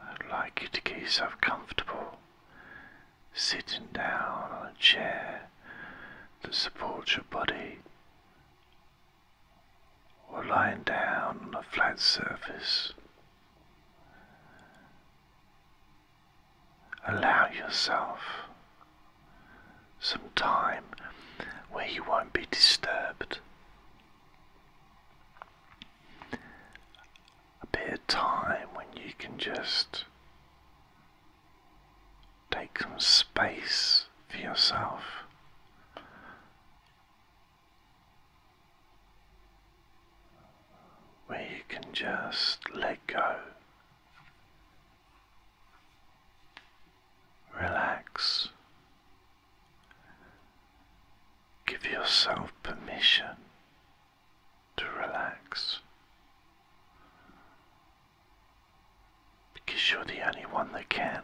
I'd like you to get yourself comfortable, sitting down on a chair that supports your body, or lying down on a flat surface. Allow yourself some time where you won't be disturbed a bit of time when you can just take some space for yourself. Where you can just let go, relax, Give yourself permission to relax because you're the only one that can.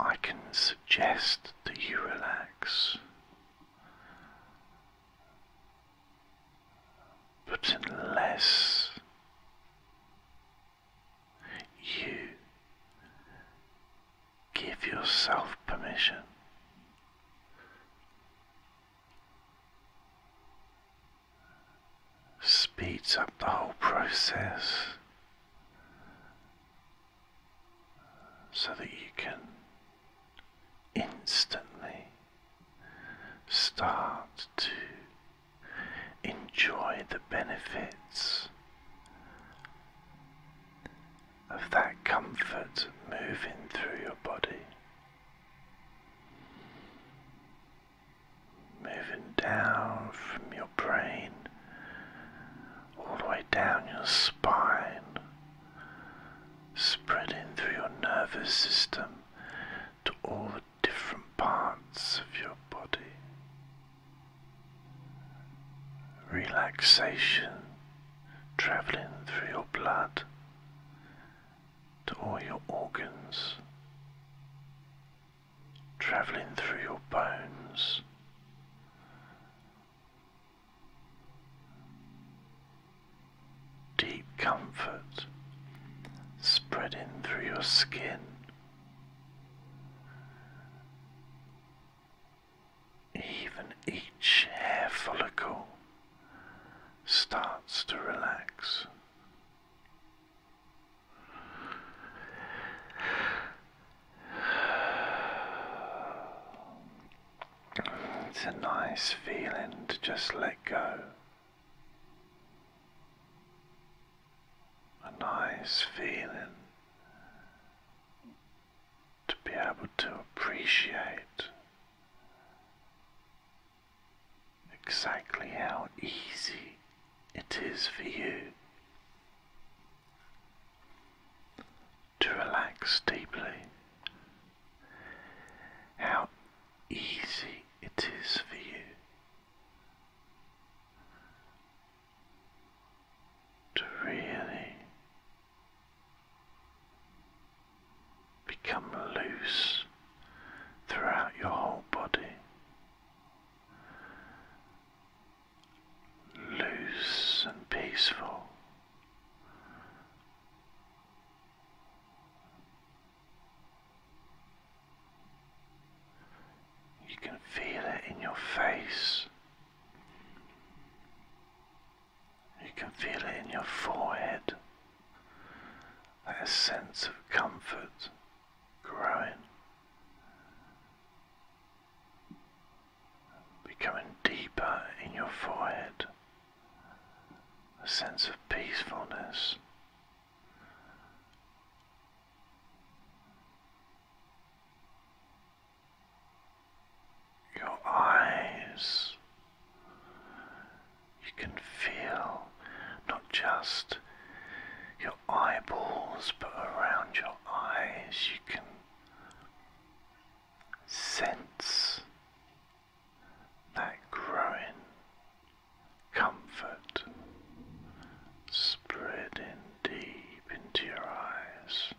I can suggest that you relax, but unless you give yourself permission speeds up the whole process so that you can instantly start to enjoy the benefits of that comfort moving through your body, moving down from your brain all the way down your spine, spreading through your nervous system to all the different parts of your body relaxation traveling through your blood to all your organs, traveling through your bones. Deep comfort spreading through your skin even each hair follicle starts to relax. It's a nice feeling to just let go a nice feeling to be able to appreciate exactly how easy it is for you to relax deeply, how easy it is for you to really become loose throughout your whole body. Loose and peaceful. You can feel it in your face. You can feel it in your forehead. That sense of comfort growing, becoming deeper in your forehead. A sense of peacefulness your eyes, you can feel not just your eyeballs, but around your eyes, you can sense that growing comfort spreading deep into your eyes.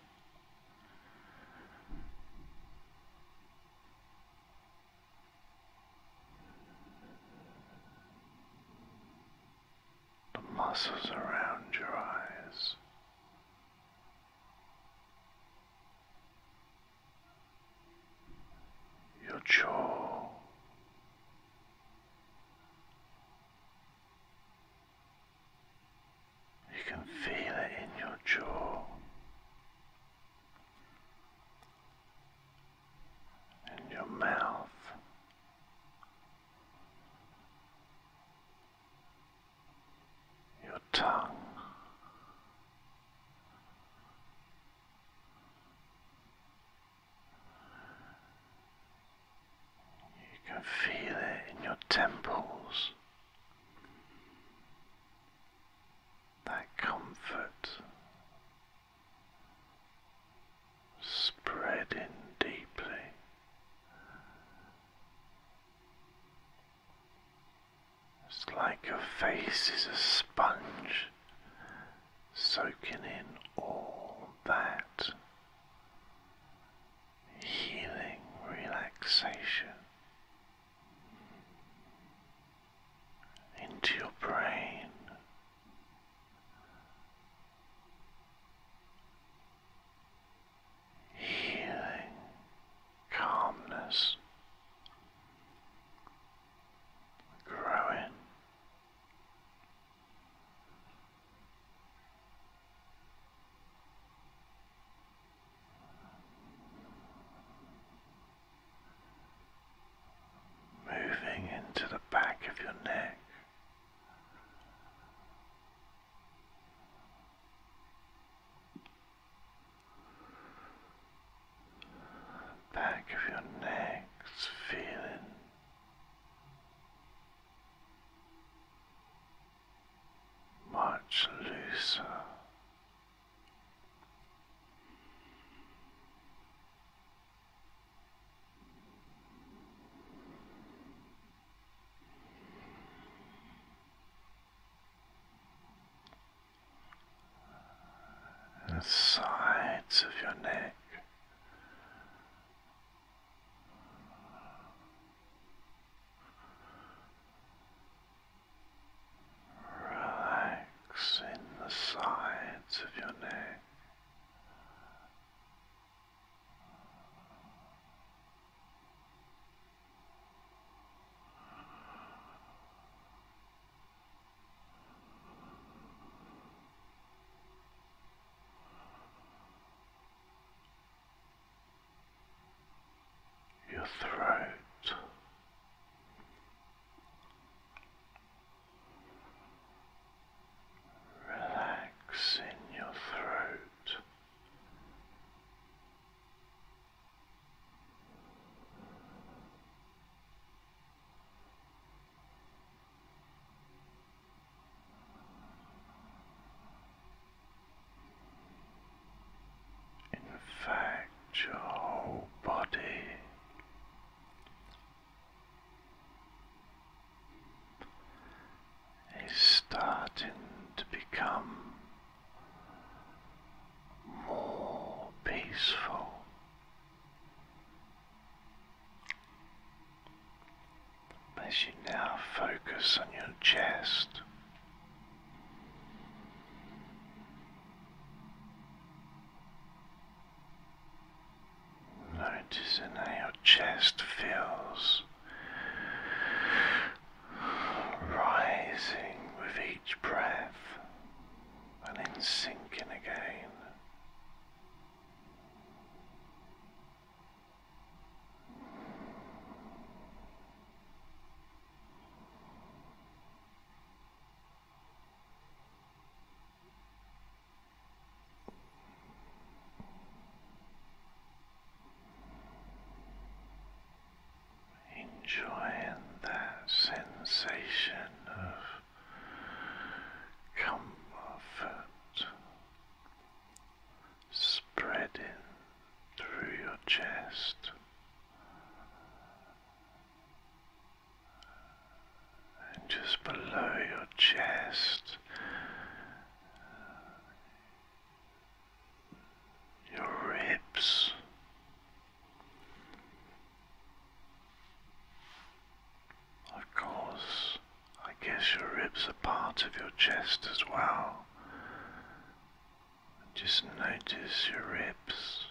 The muscles around your eyes. Your jaw you can feel it in your jaw in your mouth. Your tongue, you can feel it in your temples. That comfort spreading deeply. It's like your face is a sponge soaking in all that healing relaxation into your brain. Healing calmness growing Moving into the back of your neck. Back of your neck's feeling much looser. The sides of your neck Relax in the sides of your neck your throat. Relax in your throat. In fact, your whole body is starting to become more peaceful. As you now focus on your chest, noticing how your chest feels rising with each breath and then sinking again. Enjoying that sensation of comfort spreading through your chest. And just below your chest, your ribs, of course, I guess your ribs are part of your chest as well. Just notice your ribs.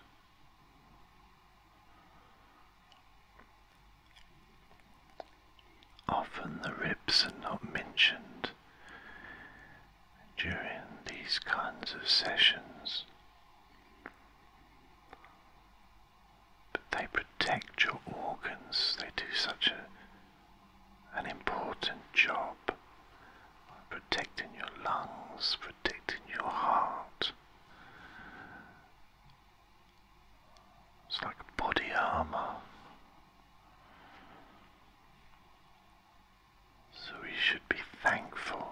Often the ribs are not mentioned during these kinds of sessions but they protect your organs. They do such a, an important job, protecting your lungs, protecting your heart. It's like body armour. So we should be thankful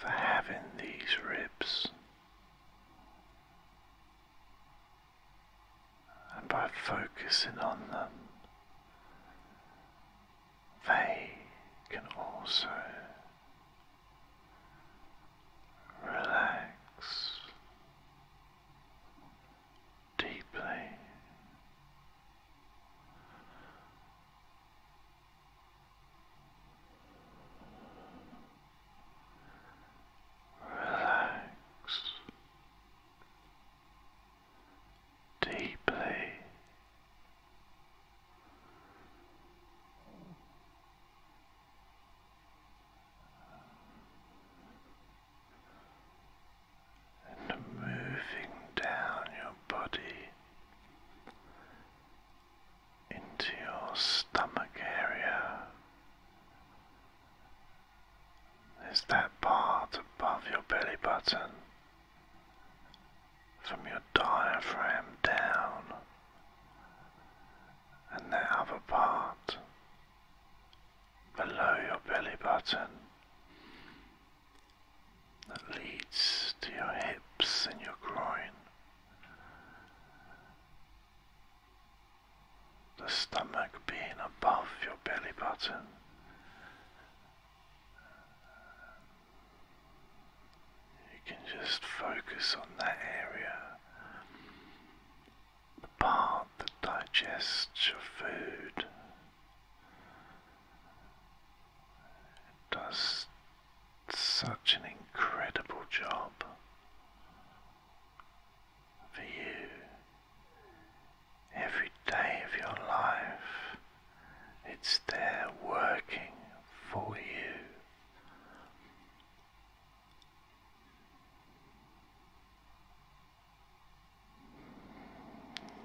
for having these ribs. And by focusing on them, they can also relax deeply Relax deeply and moving down your body into your stomach area. There's that part above your belly button from your diaphragm down, and that other part below your belly button that leads to your hips and your groin, the stomach being above your belly button. You can just focus on that area, the part that digests your food does such an incredible job for you every day of your life. It's there working for you.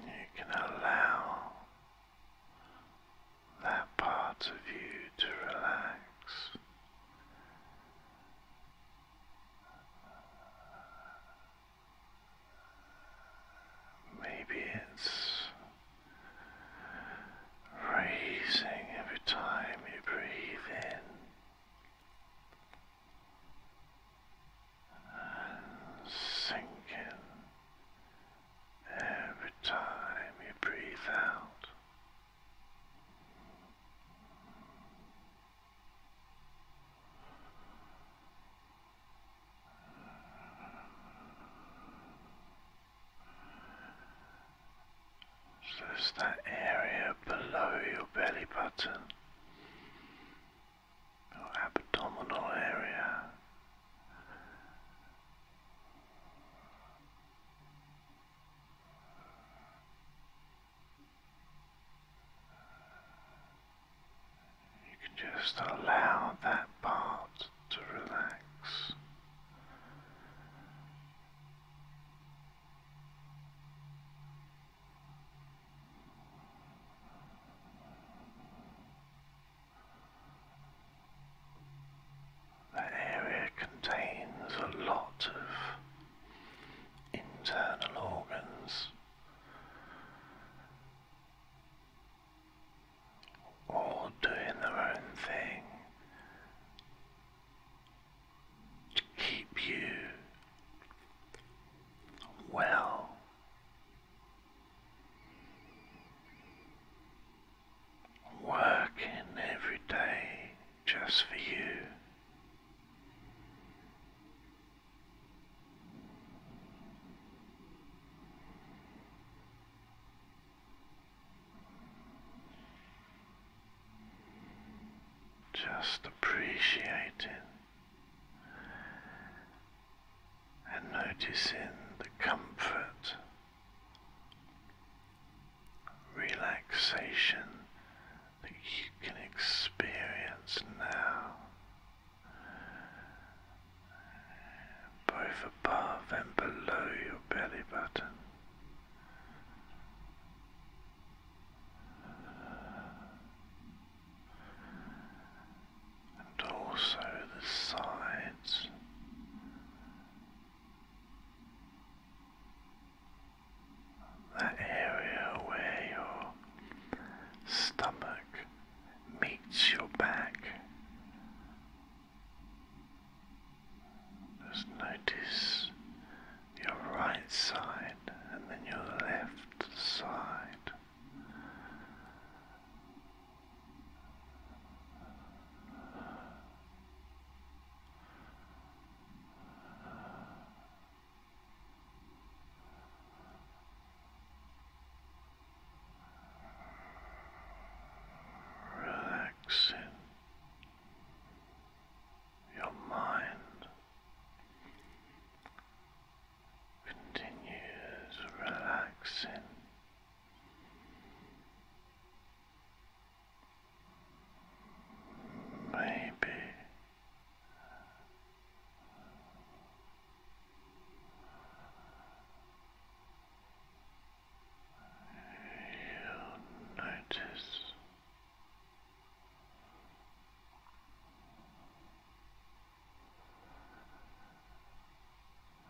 You can allow that part of you to relax. Maybe it's raising every time you breathe in and sinking every time you breathe out. So it's that area below your belly button your abdominal area. You can just allow that part to relax. That area contains a lot of internal organs, all doing their own thing to keep you well Working every day just for you. Just appreciating and noticing the comfort, relaxation that you can experience now, both above and below your belly button and also the sides. That area where your stomach meets your back. Just notice your right side and then your left side. Relaxing your mind continues relaxing. Maybe you notice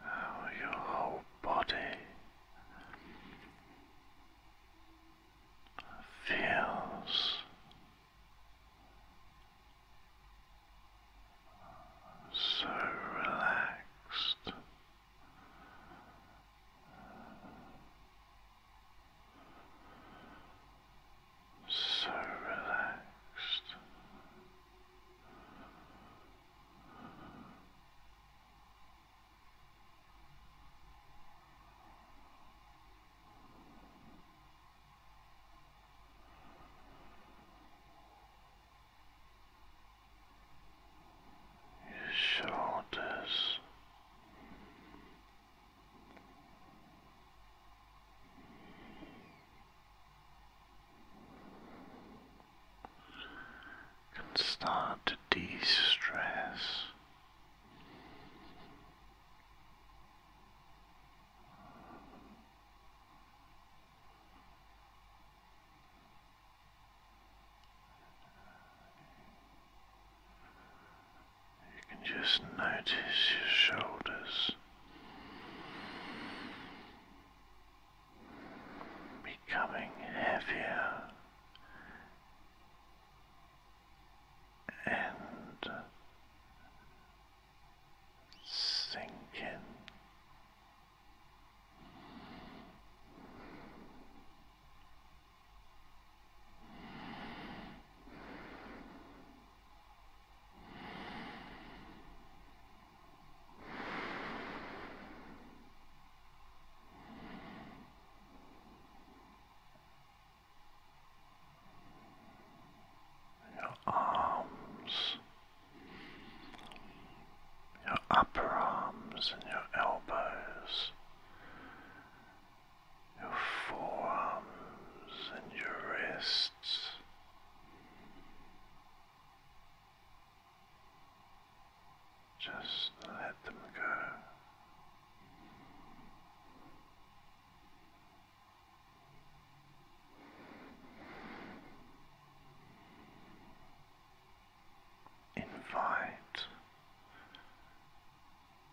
Oh, your whole body feels so relaxed so relaxed. Your shoulders can start to de-stress. You can just notice your shoulders becoming heavier and sinking your arms, your upper arms and your elbows your forearms and your wrists. Just let them go. Invite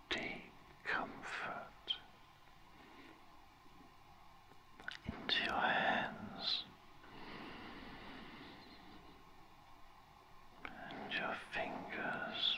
deep comfort into your hands and your fingers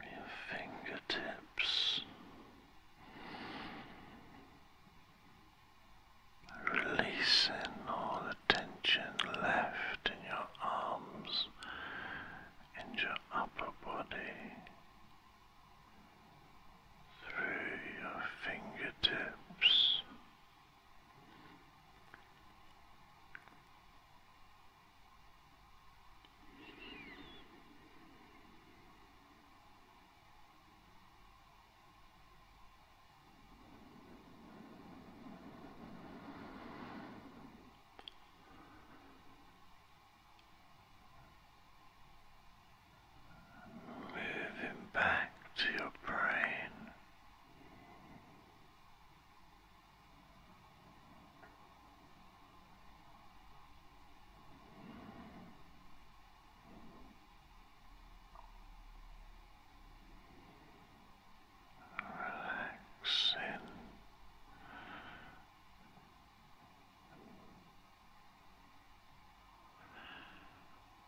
your fingertips. Releasing all the tension left in your arms in your upper body through your fingertips. Moving back to your brain relaxing.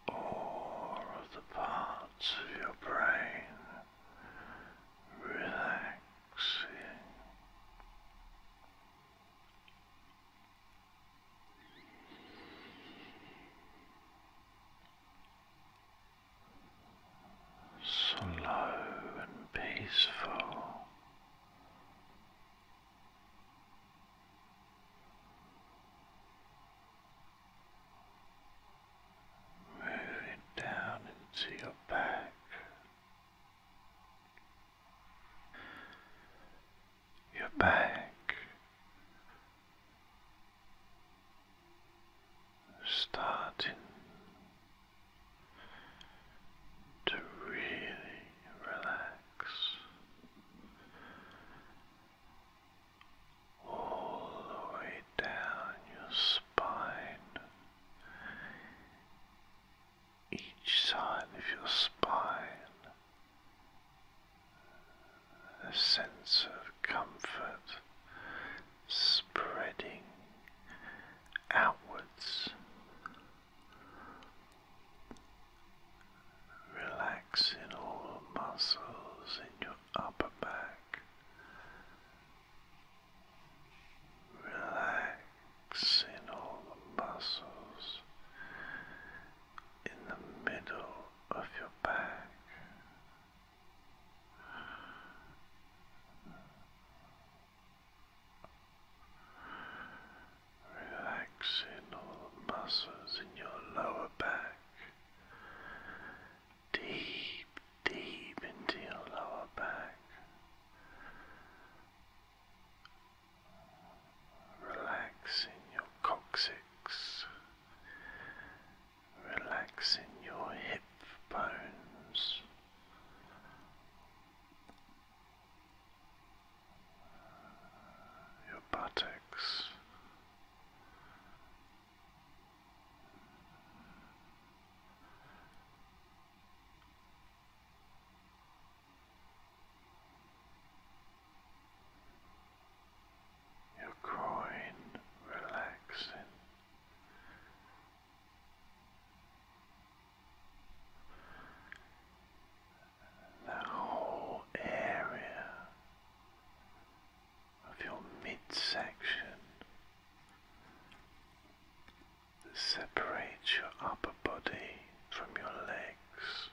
All of the parts of your brain relaxing slow and peaceful. Move it down into your back. Your back starting to really relax all the way down your spine, each side of your spine a sense of comfort spreading outwards, relaxing all the muscles in your upper back, relaxing all the muscles in the middle of your back. Relaxing all the muscles in your lower back, deep, deep into your lower back. Relaxing your coccyx relaxing your hip bones. Your buttocks, your groin relaxing. The whole area of your midsection that separates your upper body from your legs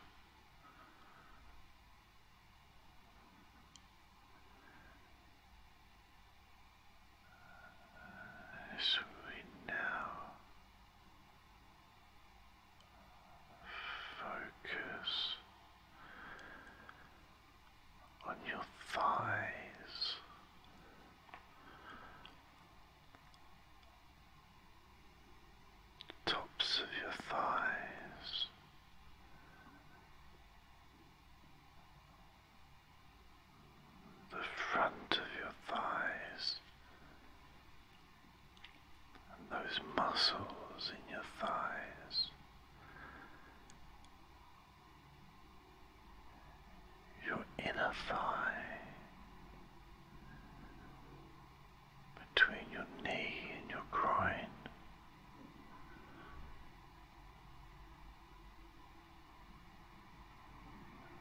as we now focus on your thighs. Tops of your thighs, the front of your thighs and those muscles in your thighs. Your inner thigh, between your knee and your groin.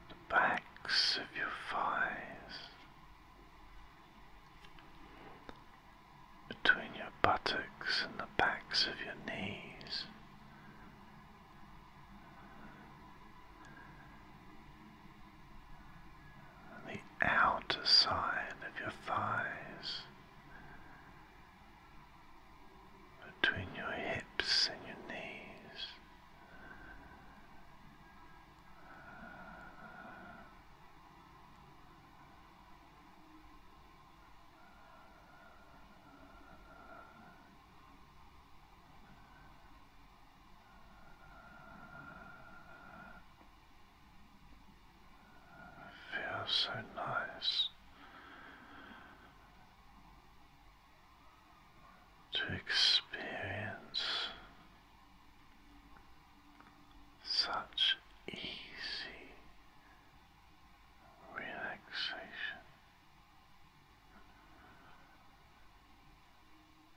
The backs of your thighs, between your buttocks and the backs of your knees the outer side of your thighs, between your hips and your knees. Feels so nice to experience such easy relaxation.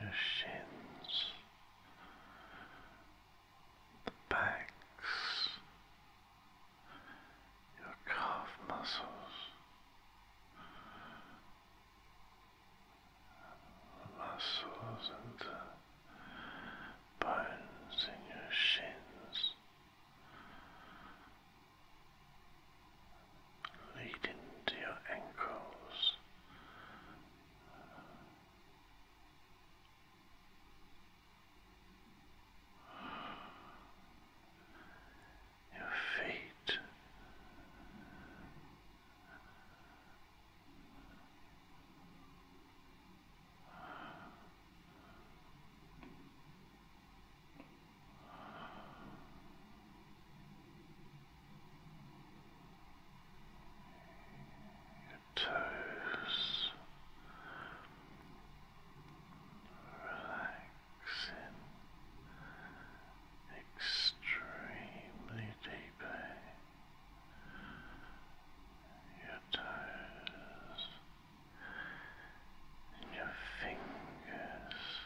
your shins, the backs, your calf muscles, the muscles and the bones in your shins, leading to your ankles your feet your toes relaxing extremely deeply. Your toes and your fingers